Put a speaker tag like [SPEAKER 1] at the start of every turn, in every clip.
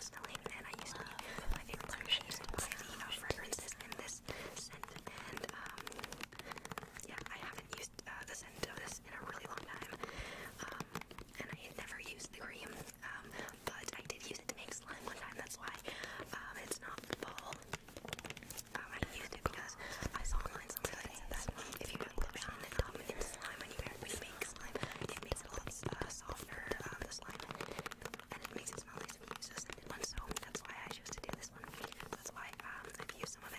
[SPEAKER 1] Snowing I used to eat my favorite Hershey's fragrances in this scent. And um, yeah, I haven't used uh, the scent of this in a really long time. Um, and I had never used the cream, um, but I did use it to make slime one time. That's why um, it's not full. Um, I used it because I saw online something if you put lotion in the top, it's slime, and you can make slime it helps uh, softer um, uh, the slime and it makes it smell nice when you use a scented one. So that's why I chose to do this one. That's why um, I've used some of it.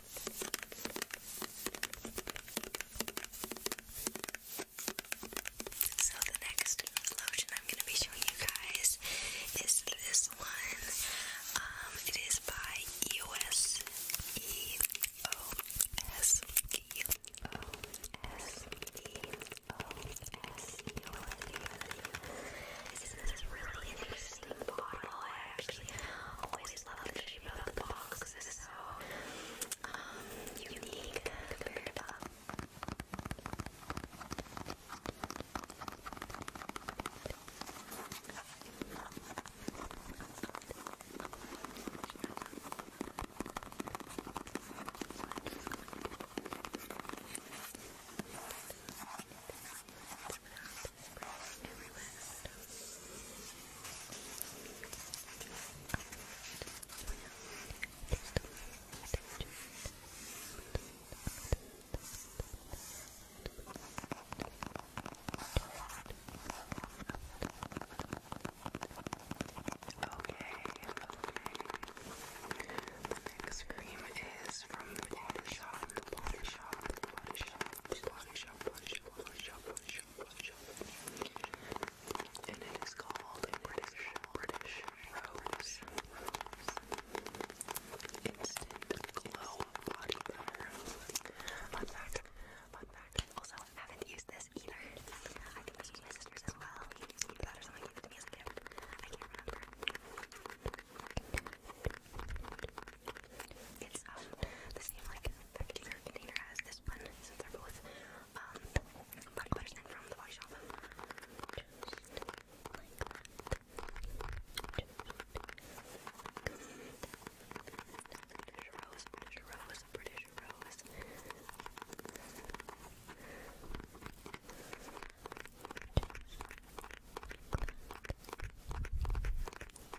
[SPEAKER 1] So the next lotion I'm going to be showing you guys is this one. it is by EOS, E-O-S, E-O-S, E-O-S, This is really interesting bottle. I actually always love the shape of the box. It's so um, unique compared brushing everywhere. Okay, okay. next cream is from body shop, body shop, body shop. Body Shop, And it is called British, British Instant Glow Body Butter. Fun fact, fun fact. Also, I haven't used this either. I think this was my sister's as well. Either that or someone I can't remember. It's um the same like particular container as this one since they're um body butters from the body shop. British rose, British rose, British rose.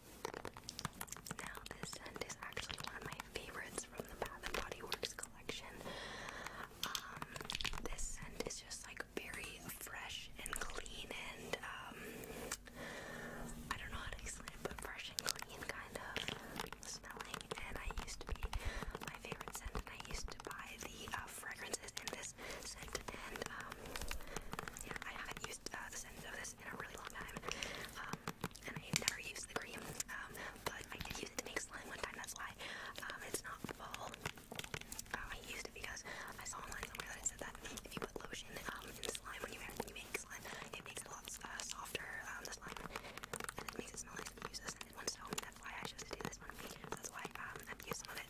[SPEAKER 1] Now this scent is actually one of my favorites from the Bath and Body Works collection. Um, this scent is just like very fresh and clean and um, I don't know how to explain it, but fresh and clean kind of smelling. And I used to be my favorite scent, and I used to buy the uh, fragrances in this scent. And um, yeah, I haven't used uh, the scent of this in a really long time. Um, and I never used the cream, um, but I did use it make slime one time, that's why um, it's not full. Uh, I used it because I saw online somewhere that it said that if you put lotion um, in slime when you, make slime, it makes a lot uh, softer, um, slime, and it makes it smell nice and use this one, so that's why I chose to do this one. that's why I've used some of it.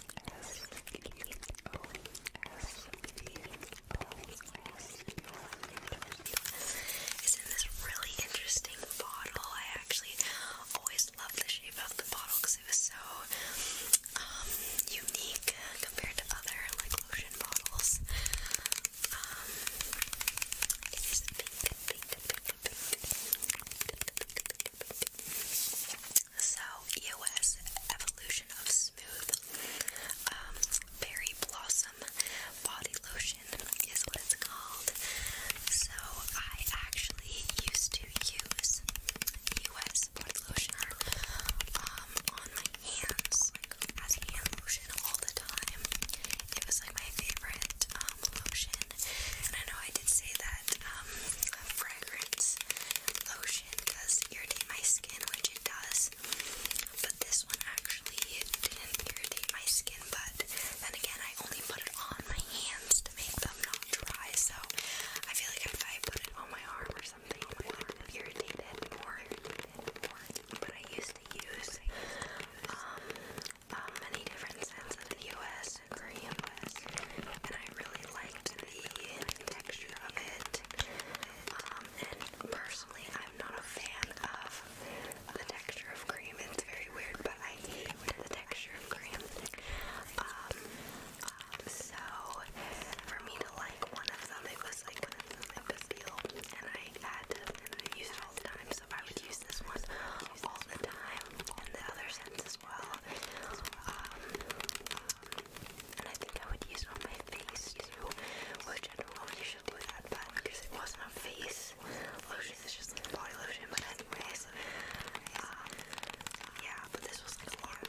[SPEAKER 1] It's in this really interesting bottle. I actually always loved the shape of the bottle because it was so unique compared to other like lotion bottles. So, EOS Evolution of Smooth um, Berry Blossom Body Lotion is what it's called. So, I actually used to use EOS Body Lotion um, on my hands, like as hand lotion all the time. It was like my favorite um, lotion. And I know I did say that fragrance lotion lotion does irritate my skin, which it does. But this one actually didn't irritate my skin, but then again, I only put it on my hands to make them not dry, so I feel like if I put it on my arm or something, it would have irritated more, but I used to use um, uh, many different scents in the US and Korean US, and I really liked the texture of it. Um, personally, I'm not a fan of the texture of cream. It's very weird, but I hate the texture of cream. Um, um, so for me to like one of them, it was like a big deal, and I had to use it all the time. So I would use this one all the time, and the other scents well. Um, and I think I would use it on my face too, which I don't do that, but because it wasn't a face lotion, it's just a body lotion. But anyways, um, yeah. But this was like a long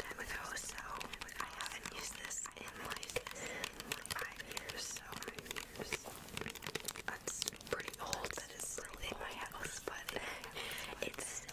[SPEAKER 1] so I haven't used this in like five years. So that's pretty old. That is still in my house, but it's still.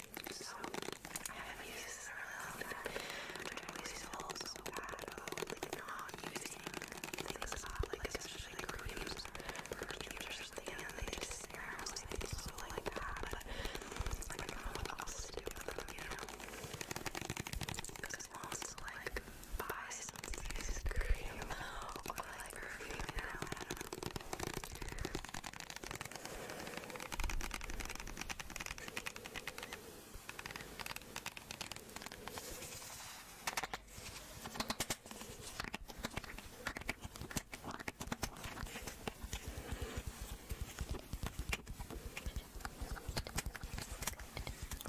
[SPEAKER 1] So I haven't used this in a long time. I always feel so bad about like not using things a lot, like especially creams or creams and they just stare at me. so like that, but like what else to do you Because I want to like buy some cream or like perfume, you I don't know. Oh, I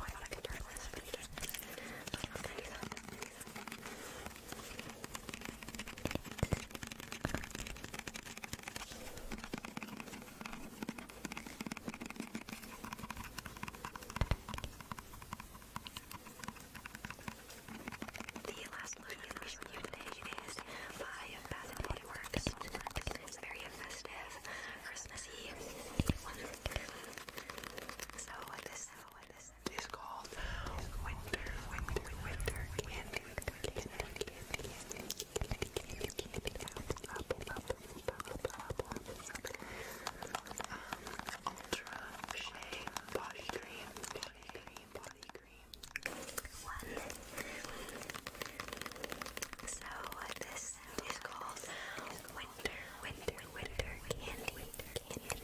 [SPEAKER 1] thought I could turn this, but I can't. So I'm not gonna do that. The last look in the review today is by Bath and Body It's very festive, Christmassy. So this, so what this is called winter, winter, winter candy, candy, candy, Ultra Shea Body Cream, So uh, this is called Winter, Winter, Winter Candy, Candy, Candy, Candy,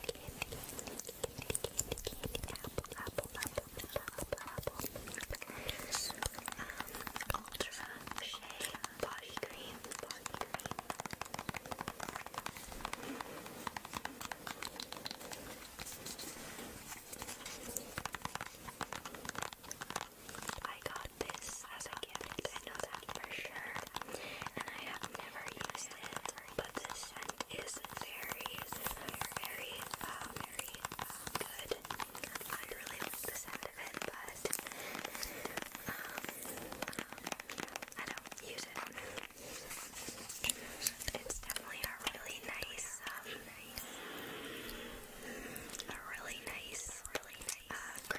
[SPEAKER 1] Candy, Candy, Apple, Apple, Apple. Ultra Shea Body Cream, I got this as a gift, I know that for sure, and I have never used it, but this scent is very, very, uh, very um, um, good. I really the sound of it, but um, I don't use it. It's definitely a really nice, um, a really nice, really nice uh,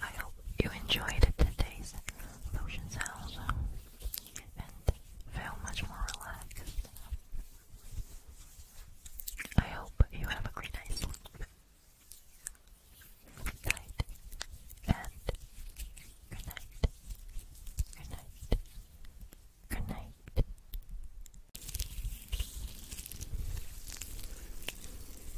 [SPEAKER 1] I hope you enjoyed today's lotion sounds and feel much more relaxed. I hope you have a great night's sleep. Night and good night. Good night. Good night.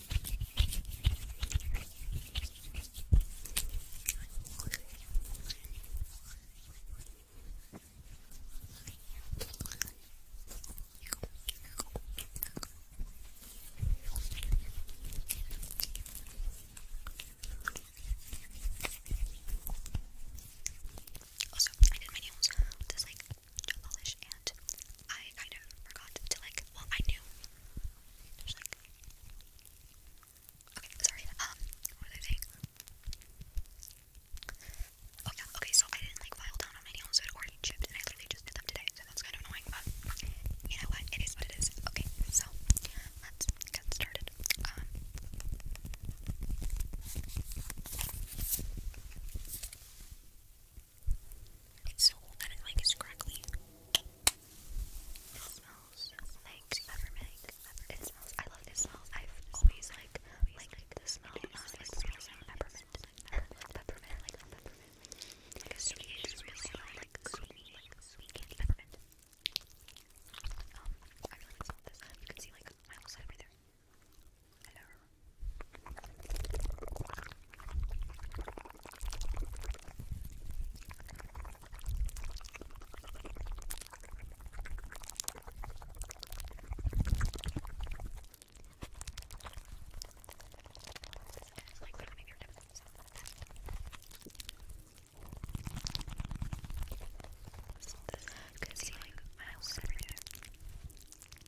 [SPEAKER 1] Also, I did my nails with this like gel polish and I kind of forgot to like, well I knew Okay, sorry. Um, what was I saying? Oh yeah, okay, so I didn't like file down on my nails, so it already chipped, and I literally just did them today, so that's kind of annoying, but you know what? It is what it is. Okay, so let's get started. Um, it's old that it like is crackly. It smells like peppermint. It smells. I love this smell. I've always like like the smell. It smells like peppermint. Peppermint, peppermint. Like a sweet, sweet, like sweet, like sweet peppermint. Um, I really like this. You can see like my whole side right there. Hello. It's like pounding your temples. Cause you like my house every day.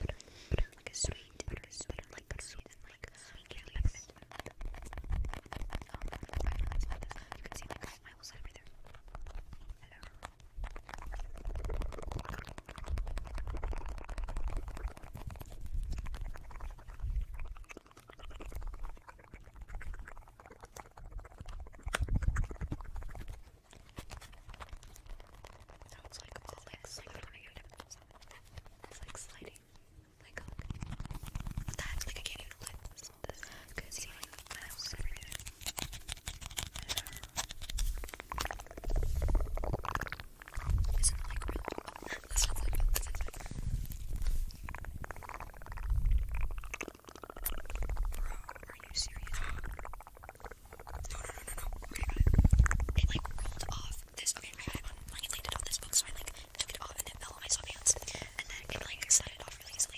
[SPEAKER 1] like a sweet, like a sweet, like a sweet, like I know it's not this. You can see Hello. Sounds like all like sliding on your nipples. It's like sliding my cock. Oh, That's like I can't even let this because you like when I was sitting there. Isn't like real? This one's like real. This is like Bro, are you serious? No, no, no, no, no. It like rolled off this. Okay, I had one like landed on this book, so I like took it off and it fell on my soft hands, and then it like slided off really easily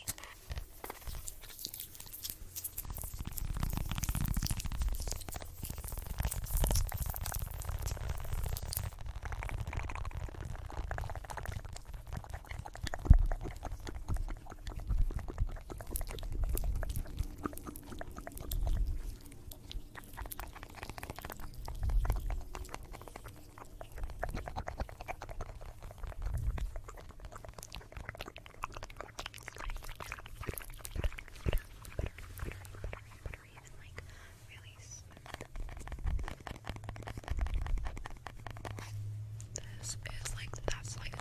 [SPEAKER 1] buttery and This is like that's like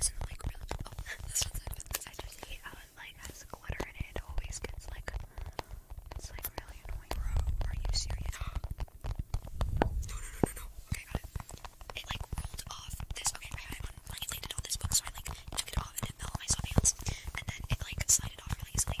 [SPEAKER 1] Isn't like really? Oh, this one's I just hate like has glitter in it. always gets like it's like really annoying. Bro, are you serious? no, no, no, no, Okay, got it. It like rolled off this. Okay, I like it landed this book, so I like took it off and it fell on my soft and then it like slided off really easily.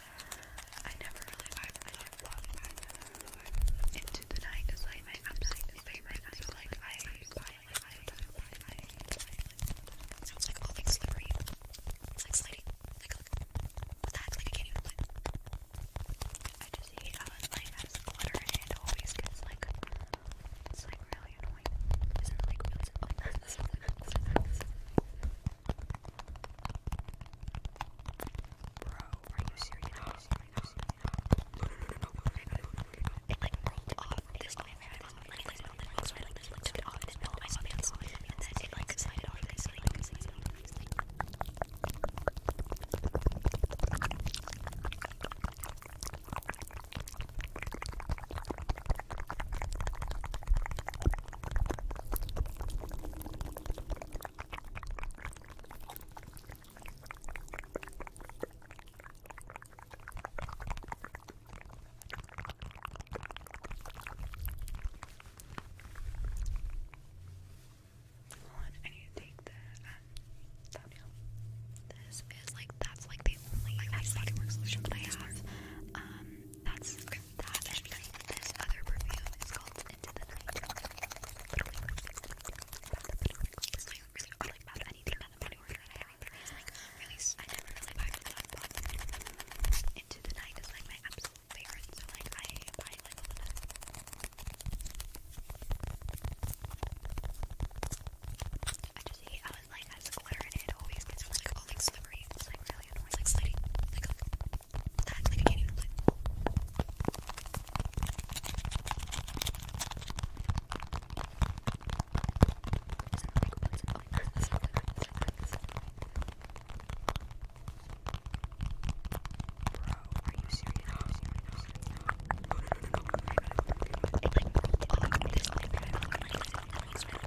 [SPEAKER 1] I never really I never really vibe. Into the night is like my absolute favorite. I feel like I violate, I violate, It sounds like all like slippery. It's like sliding. Like look. What the heck? Like I can't even play. I just hate how it like has glitter and it always gets like. It's like really annoying. Isn't it like really? Oh, this is Bro, are you serious? Are you serious? No, no, no, no, It like rolled off this my pants. Like this, this, this, this took it off this my pants, and then it like slid off this like this. Hold on, I need to take the uh, This is like that's like the only like, that's the solution that I have. Um, that's that and like this other perfume is called Into the Night. Literally, it's like really or like about anything that I'm order I have like I never really buy from Into the Night is like my absolute favorite, so like I buy like I just hate how it like has glitter and it always gets like all like slippery. It's like really annoying. It's like sliding. Like, like that. Like I can't even like. Bro, are you serious? Are you serious? It like, all like this, like, like, like, like, like, like,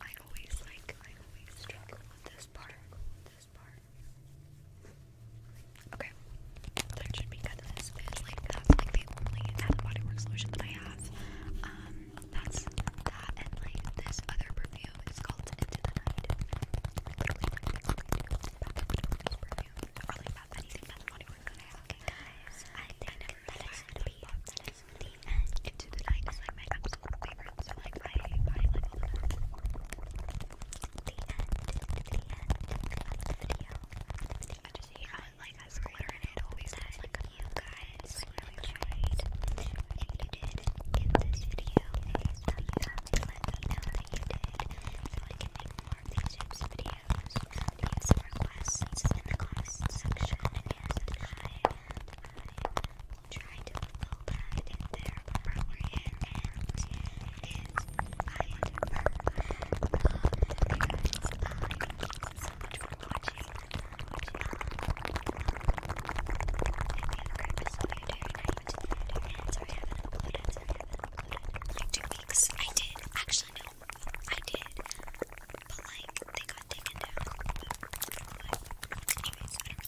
[SPEAKER 1] I always like I always struggle with this part. Okay. That should be good. This is like that's like the only out of body that I have. Um that's that and like this other perfume is called Into the Night. Like literally like it's like this perfume. Or like about anything about the body work that I have. Okay guys, I think that is gonna be that the end into like my absolute favorite. So like I, I like all The end, the end the video. I just hate how like has glitter in Always has like a you guys really tried. If you did give this video a thumbs up, let me know that you did, so I more of these types of videos. Leave requests in the comments section, and yes, try to fill that in there properly and it's I to burn so much for watching. I have a episode every night. And sorry I haven't uploaded, I haven't uploaded in like two weeks. I did, actually no, I did but like they got taken down. But, anyways, I don't really care.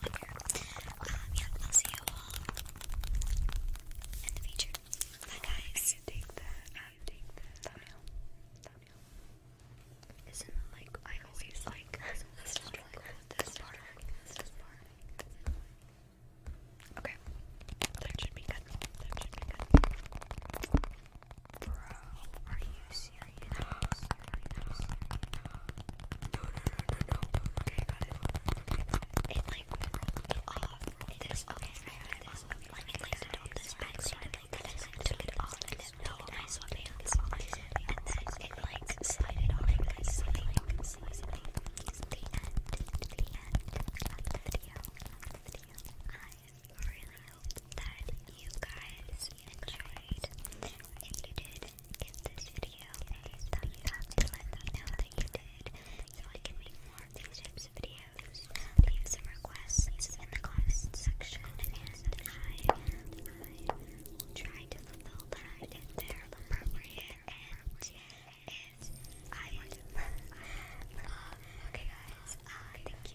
[SPEAKER 1] Um, yeah, I'll see you all in the future. Bye, guys. I take that. I take that. Thumbnail. Thumbnail. Isn't it like I always like this part? This part. This part. Okay, that should be good. That should be good. Bro, are you serious? No, no, no, no, no. Okay, I got it. It like rolled off this. Okay, I got this. Like it landed on this back, so I like kind of like took it off and then no, I saw pants. And then it like slided on like this. Like, this is the end. The end of the video. Of the video. I really hope that you guys enjoyed. If you did, give this video a thumbs up to let me know that you did, so I can make more of these types of videos. Leave some requests in the comments section, and I, will try to fulfill that if they're appropriate and if I would. um, okay, guys, uh, thank you.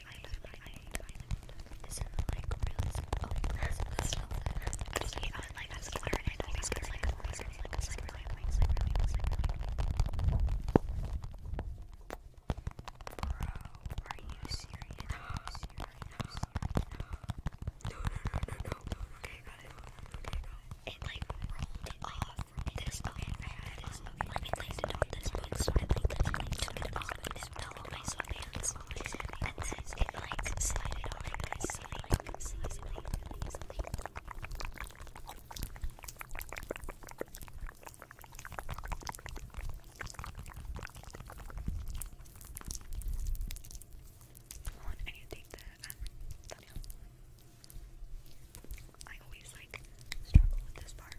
[SPEAKER 1] This is like really Oh, that's not That's not I like that's not I think it's like a voice. It's like a secret like wings. Like really, it's like really. Bro, are you serious? Are you serious? No, no, no, no, no. Okay, got it. Okay, got it. It like rolled off. This okay, I had this. Let me place it on this book. So I like literally took it off out all my sweatpants and then it like slided on my nice like easily, easily. Hold on, I need to take the um, thumbnail. I always like struggle with this part.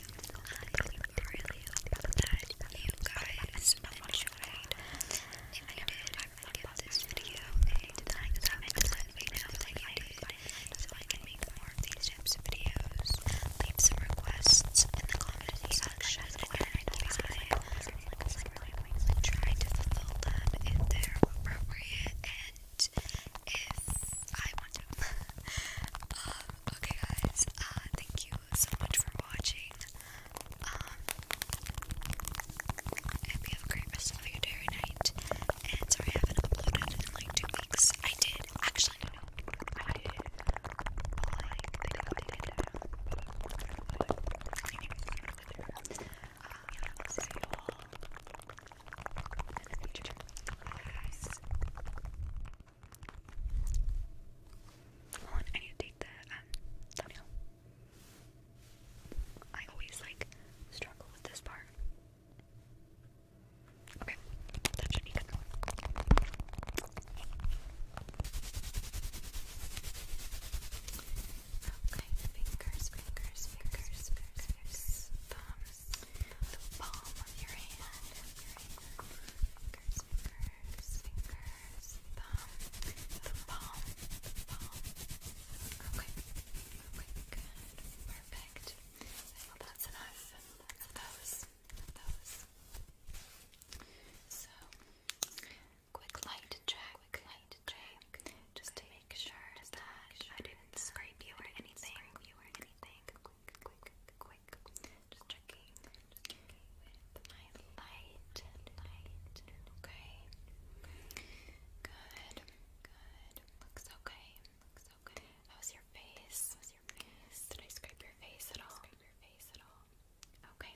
[SPEAKER 1] I really hope that you guys enjoyed. If I did, give this video a thumbs up and let me know that you did so I can make more of these types of videos. Leave some requests in the comment section and I try to fulfill them if they appropriate if I want to. okay, guys, thank you so much for watching. Um, I hope you have night. And sorry, I haven't uploaded in like two weeks. I did, actually, no, no, I did. Like, um, yeah, I'll see you all I need to take the um, thumbnail. I always like struggle with this part. Okay, that should fingers, fingers, fingers, fingers, thumbs the palm of your hand, fingers, fingers, fingers, thumb, the palm, the palm. Okay, okay, good, perfect. Well, that's enough of those, So, quick light check, quick light check, just to make sure that I didn't scrape you You or anything quick, quick, quick. Just checking, just checking with my light, light. Okay. Good, good. Looks okay. Looks okay. How's your face? How's your face? Did I scrape your face at all? Scrape your face at all? Okay.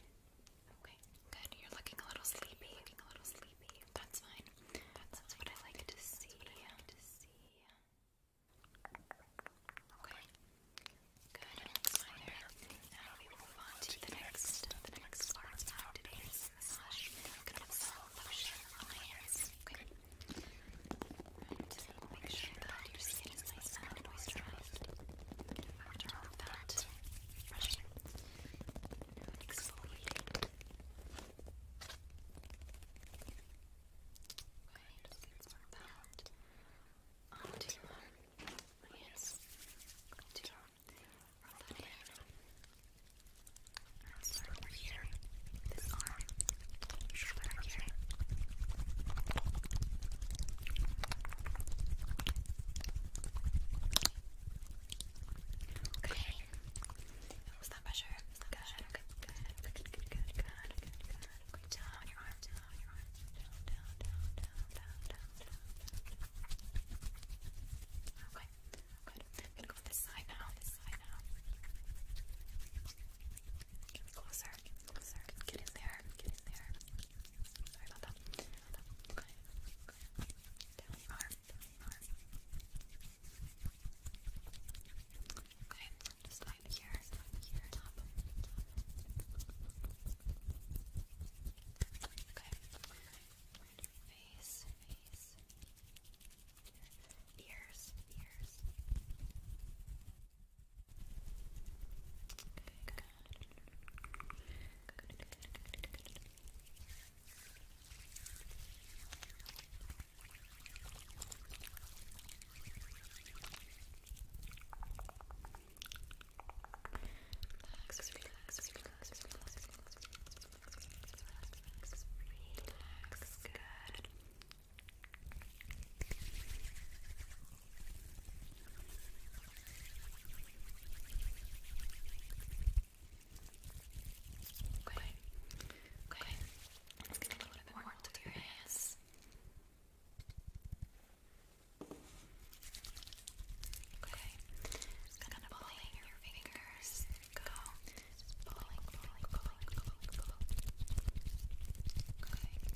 [SPEAKER 1] Okay. Good. You're looking a little sleepy. You're looking a little sleepy. That's fine. That's, That's what I like to see. That's what I like to see. Okay. Good. My hair. Now we will move on to the next, the next part of today's massage. I'm gonna put some lotion on my hands. Okay. Right. Make sure that your skin is nice and moisturized. After all of that, brushing and exfoliating. Okay, just get some of that onto my hands. To rub that in. And start This arm. Just here. Okay. Stop pressure. your arm. Down your arm. Down. Down. Down. Down. Down. Down. Okay. I'm gonna go this side now. This side now. closer. Closer. Get in there. Get in there. Sorry about that. Okay. Okay. Down Okay. Just up here, up here, top, top. Okay. Face, face. Ears, ears. Okay, good. Good, good, good, good, good. Relax, relax, relax, relax, relax, relax, good. Okay. Okay. Let's get a little bit more into your hands. Okay, just kind of pulling your fingers. Go. Just pulling, pulling, pulling, pulling, pulling. Okay.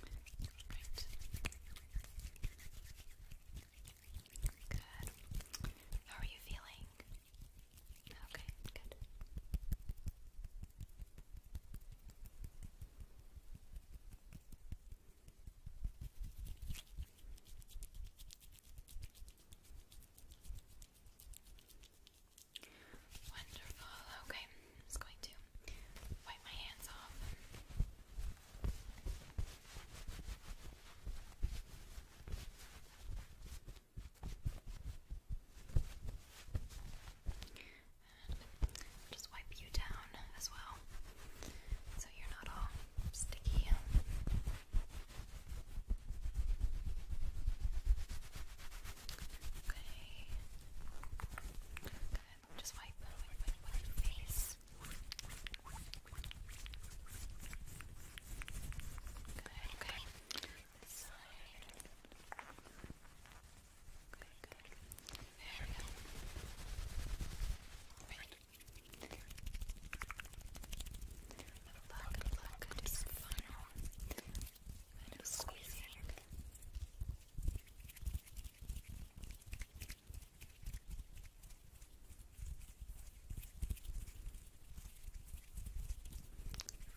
[SPEAKER 1] Great. Good. How are you feeling? Okay, good. Wonderful. Okay, I'm just going to wipe my hands off. And just wipe you down as well so you're not all sticky. Okay. Okay, just wipe, wipe, wipe, wipe your face. Okay, okay. This side. Okay, good. There we go. Right. Look, look, just final Kind of squeezing everything.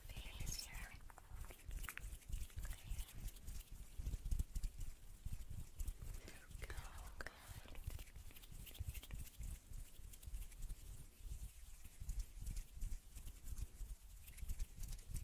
[SPEAKER 1] Face here. Okay. Go, good. Good.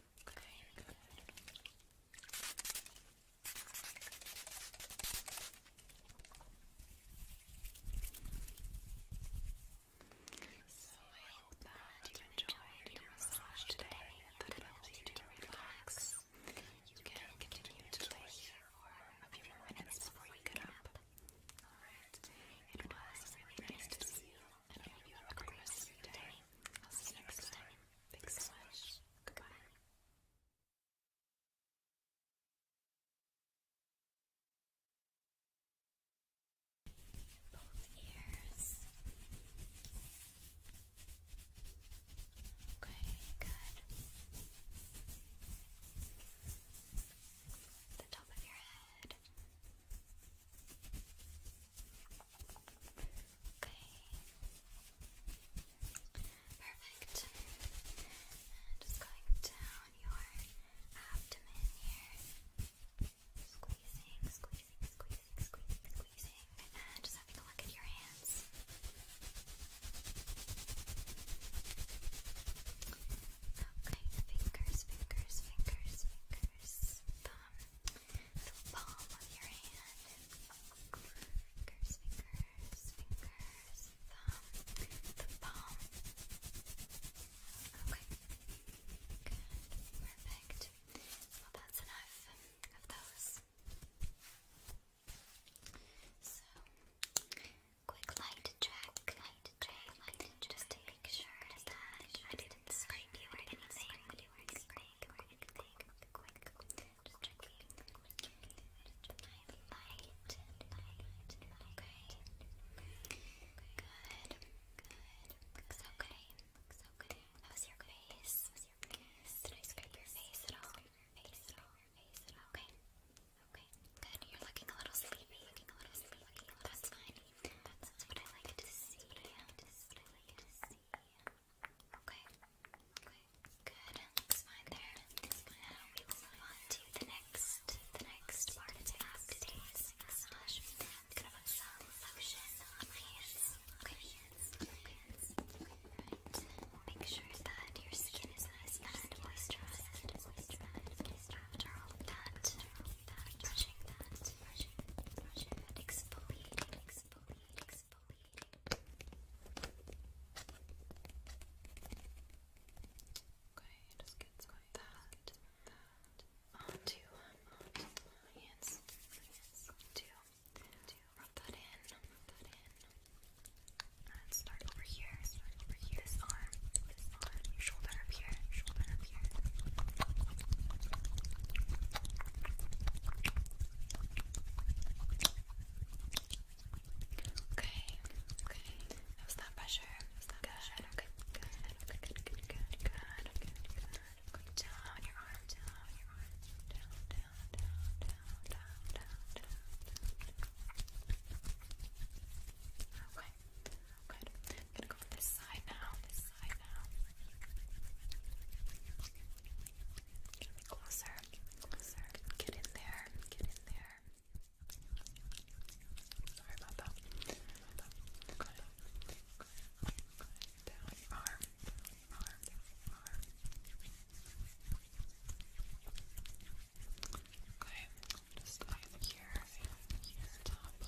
[SPEAKER 1] Okay. So I hope that you enjoyed your massage today that it helps you to relax. You can continue to lay here for a few minutes before you get up. Alright, it was nice to see you and I you have a I'll see you next time. Thanks so much. Goodbye. Both ears. Okay, good. The top of your head. Okay. Perfect. just going down your abdomen here. Squeezing, squeezing, squeezing, squeezing, squeezing. And just having a look at your hands. Okay, fingers, fingers, fingers, fingers, thumb the palm of your hand. Fingers, fingers, fingers, thumb, the palm. Okay. Perfect. Well, that's enough of those. So, quick light check, light check, light check. Just to make sure that I didn't scrape you or anything quick, light, light, okay. Good, good. Looks okay. Looks okay. How's your face? How's your face? Did I scrape your face at all? Face at all? Face at all? Okay. Okay. Good. You're looking a little sleepy. Looking a little sleepy. That's fine. That's what I like to see. That's what I like to see see. Okay. Okay. Good. Looks fine there. Now uh, we will move on to the next, the next part of today's gonna put my hands. Okay. Make sure that your skin is nice and Moisturized. After all of that, brushing that, brushing that, brushing, brushing that, exfoliating, exfoliating, exfoliating. Okay, just get some of that, onto, onto my hands, my hands, to, to rub that in, rub that in. And start over here, start over here, this arm, this arm, your shoulder up here, shoulder up here. Okay, okay. That pressure. Was that good. good. good, good, good, good, good, good, good. down your arm, down your arm, down, down, down, down, down, down, Okay, good. I'm gonna go this side now eye now. closer, closer. Get in there, get in there. Sorry about that. Down your arm, arm, arm. Okay, just here, here, top, here, top, top.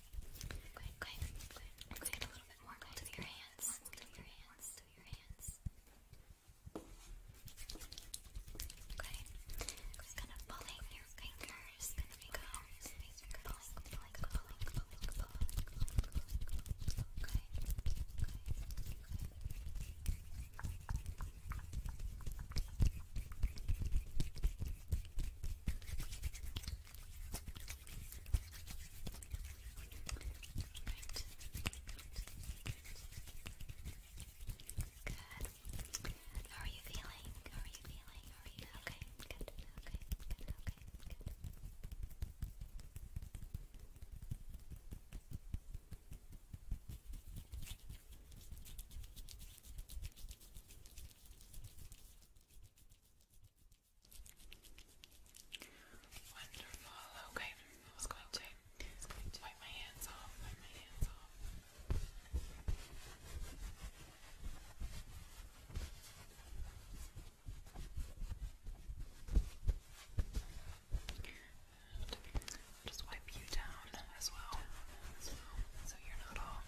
[SPEAKER 1] Okay, okay, okay. Let's get a little bit more to your hands. To your hands. To your hands. Okay. It's gonna pulling your fingers. There we go. Pulling, pulling, pulling, pulling, pulling, pulling. Okay. Okay. Good. How are you feeling? How are you feeling? How are you okay? Good. Okay. Good. Okay. Good. Wonderful. Okay, I was going to wipe my hands off. Wipe my hands off. just wipe you down as well, so you're not all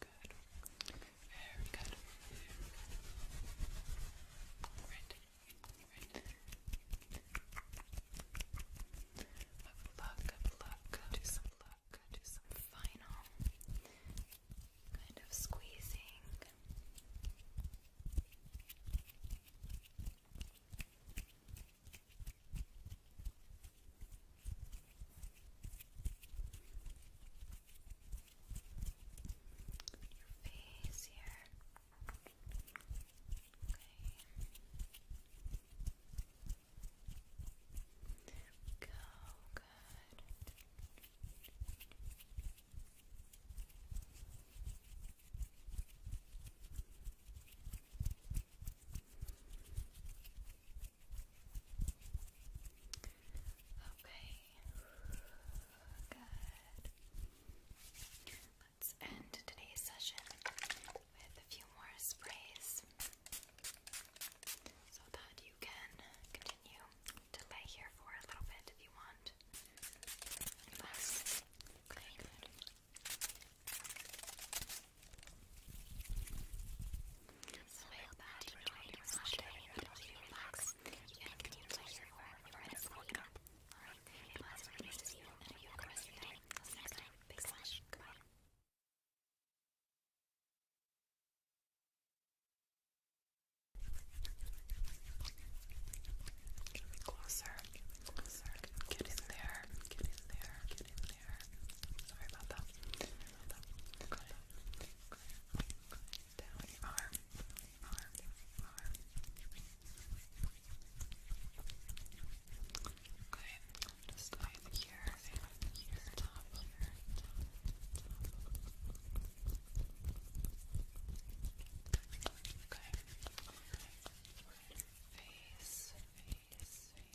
[SPEAKER 1] good. Very good. Right. Right. Up luck, up luck, do some luck, do some final kind of squeezing your face here. Okay. Go good. Okay, Good. Let's end today's session with a few more sprays so that you can continue to lay here for a little bit if you want. Relax. Okay, so I hope you enjoyed your slash day you relax and continue to Alright, it was really nice to see you you have a rest of your day. Till next time, big slash, goodbye. Closer, closer, get in there, get in there, get in there. Sorry about that down your arm, arm, arm. Okay, just either here, and here, top, here, top, top. Okay, face, face, face. Here.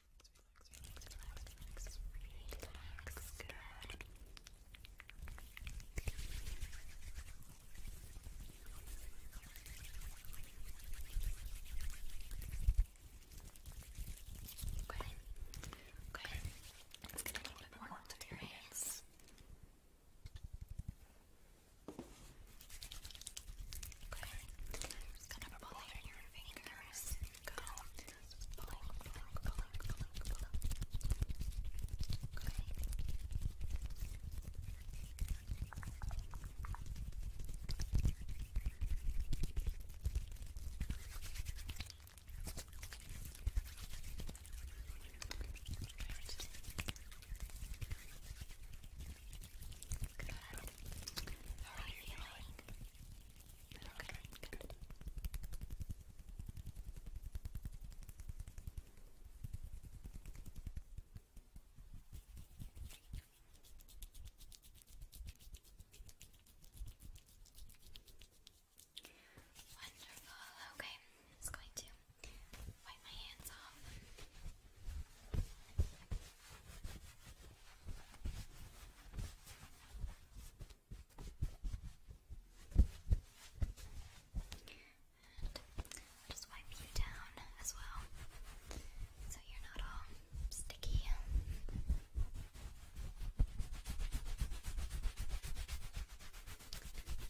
[SPEAKER 1] relax, relax, relax, good. Okay, okay, let's get a little bit more onto your hands. Okay, I'm just gonna pull your fingers, go Good. How are you feeling? Okay, good. Wonderful. Okay, I'm just going to wipe my hands off. And just wipe you down as well so you're not all sticky.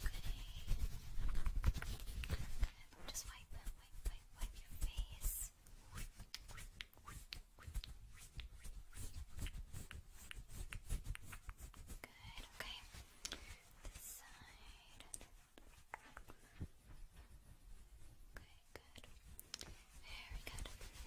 [SPEAKER 1] Okay. Just wipe, wipe, wipe, wipe your face. Good, okay. This side. Okay, good. Very good. Okay,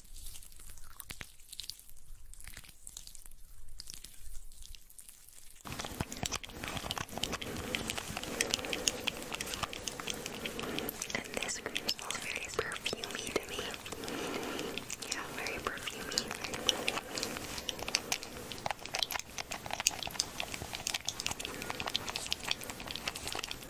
[SPEAKER 1] And this cream smells very perfumey to me. Yeah, very perfumey.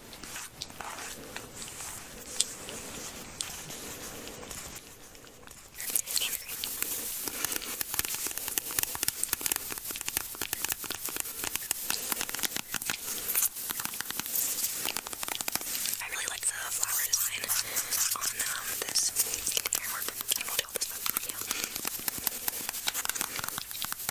[SPEAKER 1] I really like the flower design on um, this. Can you hear more? Can you deal with this? Yeah.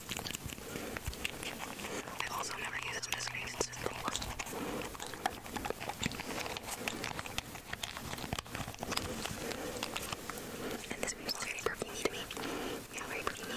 [SPEAKER 1] I also never use this face system. And this feels very perfumey to me. Yeah, very perfumey.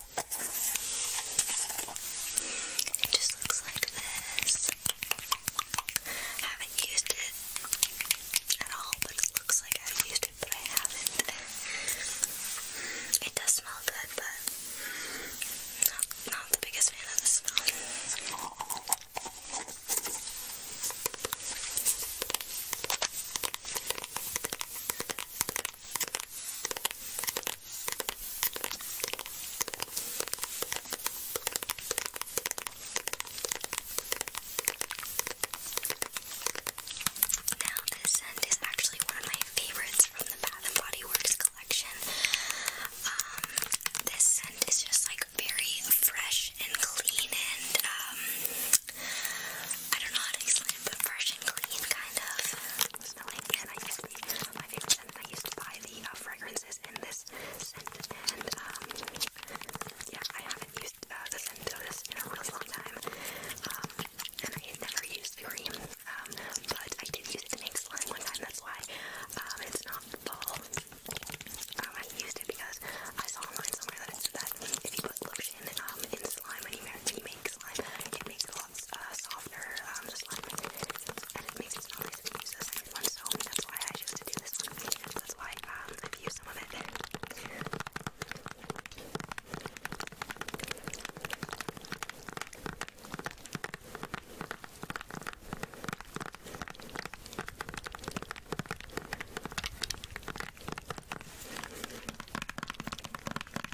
[SPEAKER 1] It just looks like this. haven't used it at all, but it looks like I've used it, but I haven't. It does smell good, but not the biggest fan of the smell. Now, this scent is actually one of my favorites from the Bath and Body Works collection. Um, this scent is just like very fresh and clean, and um, I don't know how to explain but fresh and clean, kind of smelling, and I used my favorite scent. I used to buy the uh, fragrances in this scent, and um, yeah, I haven't used uh, the scent of this in a really long time. Um, and I never used the cream, um, but I did use it slime one time. That's why it's not fall. I used it because I saw online somewhere that it said that if you put lotion in slime when you, when it makes it wants a uh, softer um, slime, and it makes it smell nice when you use the second one, so that's why I chose to do this one. That's why um, I've used some of it.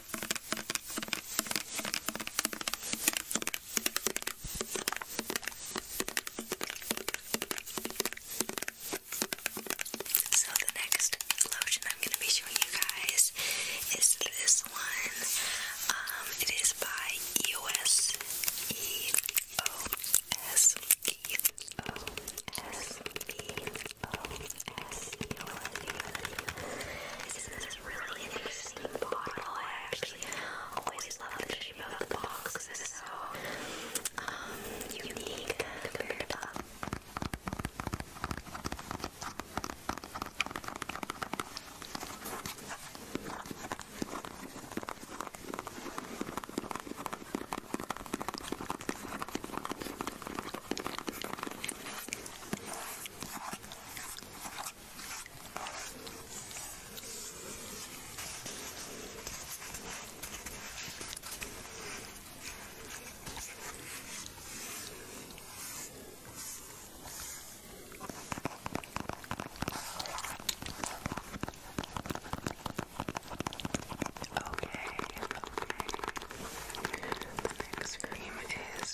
[SPEAKER 1] So the next lotion I'm going to be showing you guys is this one. it is by EOS. E O S E O S E O S box in I actually always love the shape of box because it's so um, unique compared to Okay, okay. The next cream is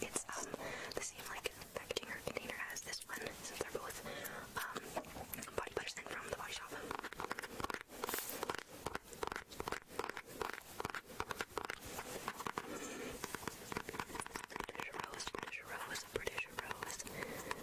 [SPEAKER 1] It's um the same like packaging or container as this one since they're both um body butters and from the body shop. British Rose, British Rose, British Rose.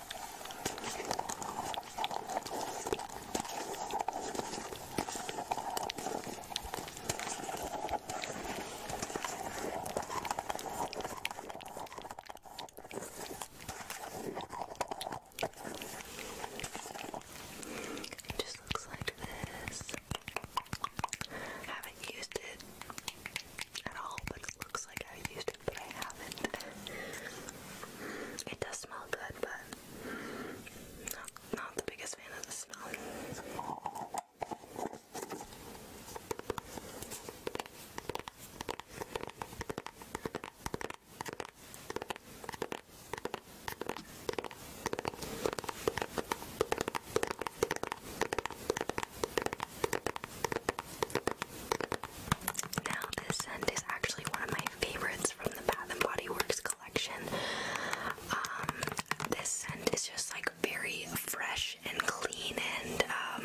[SPEAKER 1] It just looks like this. Haven't used it at all, but it looks like I used it does smell good, but not the biggest fan of the smell. Now, this scent is actually one of my favorites from the Bath and Body Works collection. Um, this scent is just like very fresh and clean, and um,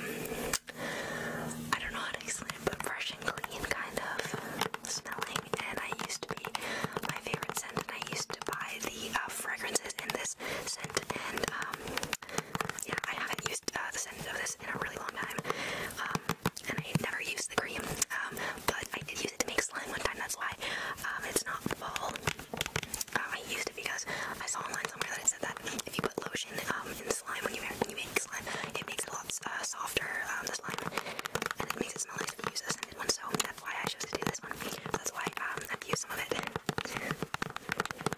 [SPEAKER 1] I don't know how to explain it, but fresh and clean kind of smelling. And I used to be my favorite scent, and I used to buy the uh, fragrances in this scent, and um, yeah, I haven't used uh, the scent of this in a really long time, um, and I never used the cream, um, but I did use it to make slime one time. That's why um, it's not fall. Um, uh, I used it because I saw online somewhere that it said that if you put lotion um, in slime when you make, when you make slime, it makes it a lot uh, softer um, the slime, and it makes it smell nice if you use a scented one. So that's why I chose to do this one. That's why um, I've used some of it.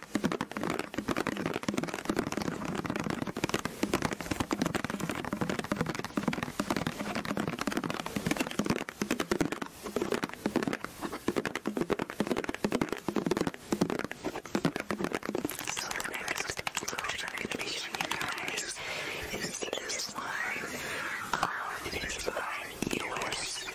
[SPEAKER 1] So the next transformation you guys is this one. Um, it is by uh, yours.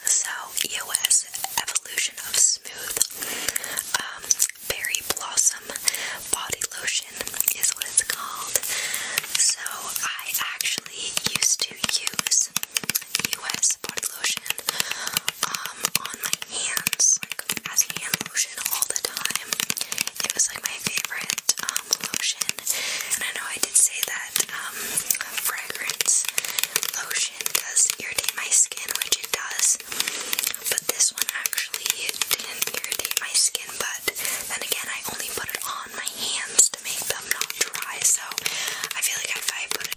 [SPEAKER 1] So EOS Evolution of Smooth um, Berry Blossom Body Lotion is what it's called. So I actually used to use EOS body lotion um, on my hands, like as hand lotion all the time. It was like my favorite um, lotion, and I know I did say that fragrance lotion does irritate my skin, which it does. But this one actually didn't irritate my skin, but then again, I only put it on my hands to make them not dry, so I feel like if I put it